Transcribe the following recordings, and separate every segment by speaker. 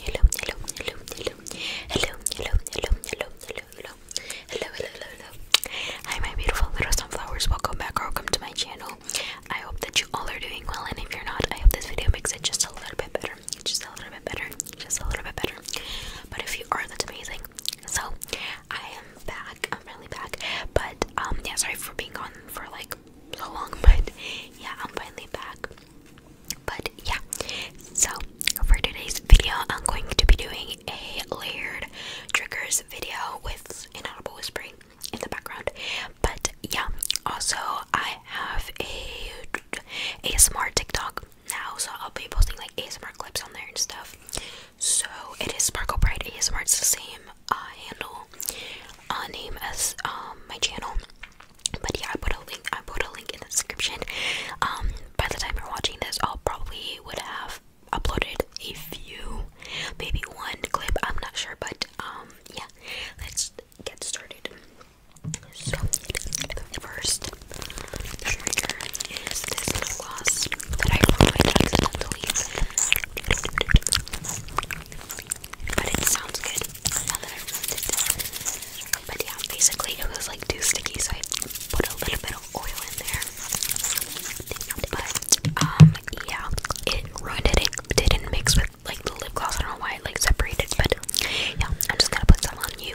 Speaker 1: Hello, hello, hello, hello, hello, hello, hello, hello, hello, hello, hello, hello, Hi, my beautiful little sunflowers. Welcome back, or welcome to my channel. I hope that you all are doing well, and if you're not, I hope this video makes it just a little bit better, just a little bit better, just a little bit better. But if you are, that's amazing. So I am back. I'm really back. But um, yeah, sorry for being gone for like so long, but yeah, I'm finally back. But yeah, so for today's video, I'm going to be doing a layered triggers video with inaudible whispering in the background. But yeah, also I have a ASMR TikTok now, so I'll be posting like ASMR clips on there and stuff. So it is Sparkle Bright ASMR. It's the same uh, handle uh, name as um, my channel. But yeah, I put a link. I put a link in the description. Um, by the time you're watching this, I'll probably would have uploaded a few, maybe one clip. I'm not sure, but um, yeah, let's get started. So the first trigger this lip that I ruined accidentally but it sounds good But yeah, basically it was like too sticky, so I put a little bit of oil in there. But um, yeah, it ruined it. didn't mix with like the lip gloss. I don't know why it like separated, but yeah, I'm just gonna put some on you.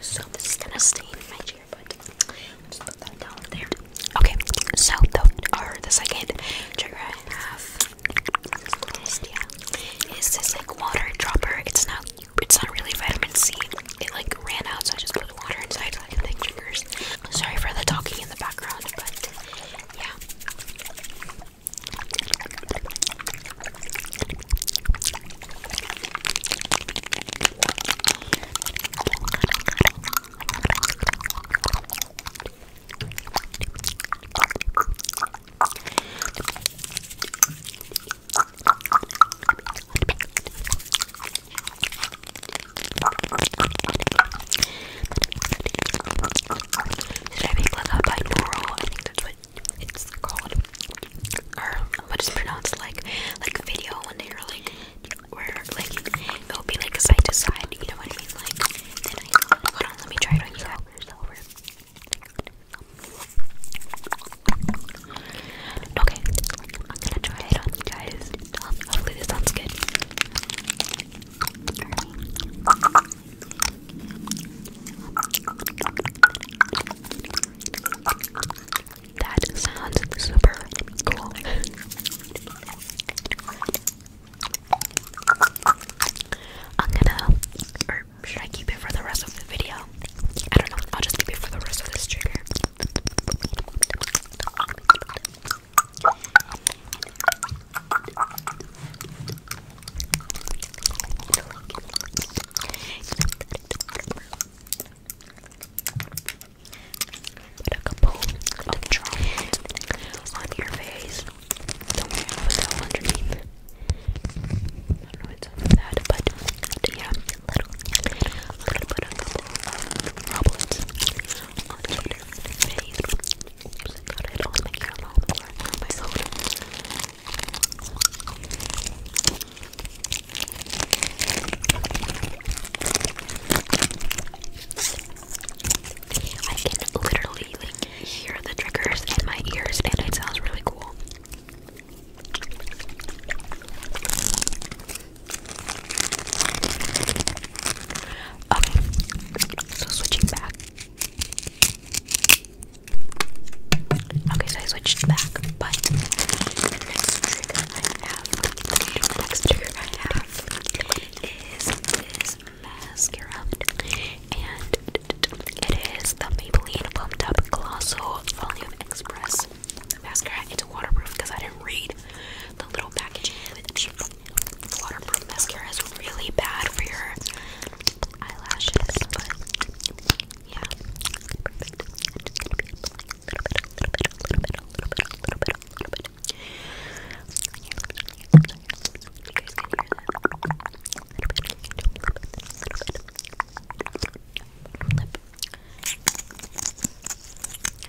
Speaker 1: So this is gonna stain my chair, but I'll put that down there. Okay, so the the second trigger I have is this like water dropper. It's not it's not really vitamin C. It like ran out, so I just put water inside so I can triggers. Sorry for the talking in the background, but yeah. Should I make like a binaural? I think that's what it's called, or what is pronounced like, like a video when they are like, where like it'll be like side to side. You know what I mean? Like, then I, hold on, let me try it on you. Over. Okay, I'm gonna try it on guys. Hopefully this sounds good. That sounds super cool. I'm gonna, or should I keep it for the rest of the video? I don't know. I'll just keep it for the rest of this trigger. Put a couple of droplets on your face. Don't i put that underneath. I don't know what's up with but yeah, little, little, put of droplets on your face. Got it on the camera, on my phone. I can literally hear the triggers in my ears, and it sounds really cool. So switching back. Okay, so I switched back, but the next trigger I have, the next trigger I have is this mascara, and it is the Maybelline Pumped Up Colossal Volume Express mascara. It's waterproof because I didn't read, the little package waterproof mascara is really bad for your eyelashes, but yeah. I'm just gonna be a little bit, a little bit, a little bit, a little bit, a little bit, a little bit,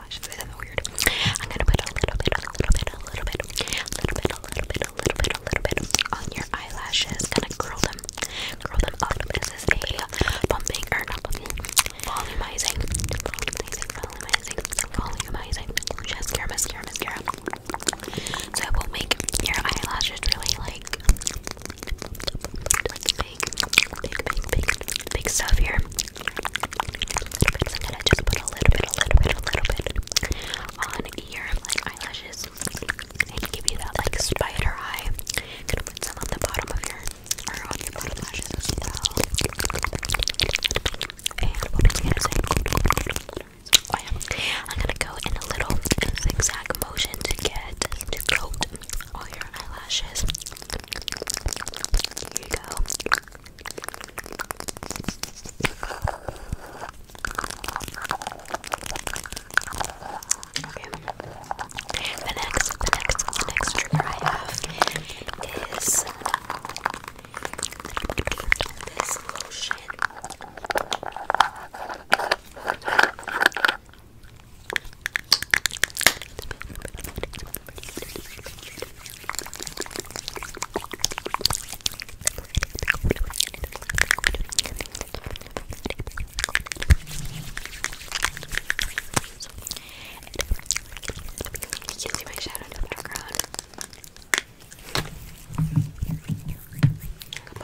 Speaker 1: gosh, this is weird. I'm gonna put a little bit, a little bit, a little bit, a little bit, a little bit, a little bit, a little bit on your eyelashes. Gonna curl them, curl them up. This is a bumping or not bumping, volumizing, volumizing, volumizing, volumizing. Mascara, mascara, mascara. So it will make your eyelashes really like. Like big, stuff here. I'm gonna just put a little bit, a little bit, a little bit on your like eyelashes and give you that like spider eye. gonna put some on the bottom of your or lashes And what was I gonna say? I'm gonna go in a little zigzag motion to get to coat all your eyelashes. Here you go. Okay. The next, the next, the I have is this lotion. You can see my shadow in the background. I can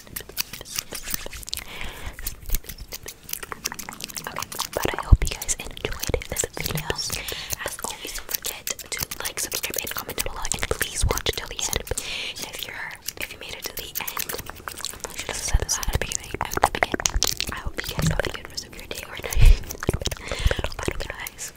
Speaker 1: but I hope you guys enjoyed this video. As always, don't forget to like, subscribe, and comment below. And please watch till the end. if you're, if you made it to the end, I hope you guys have a good rest of your day or night. Bye, guys.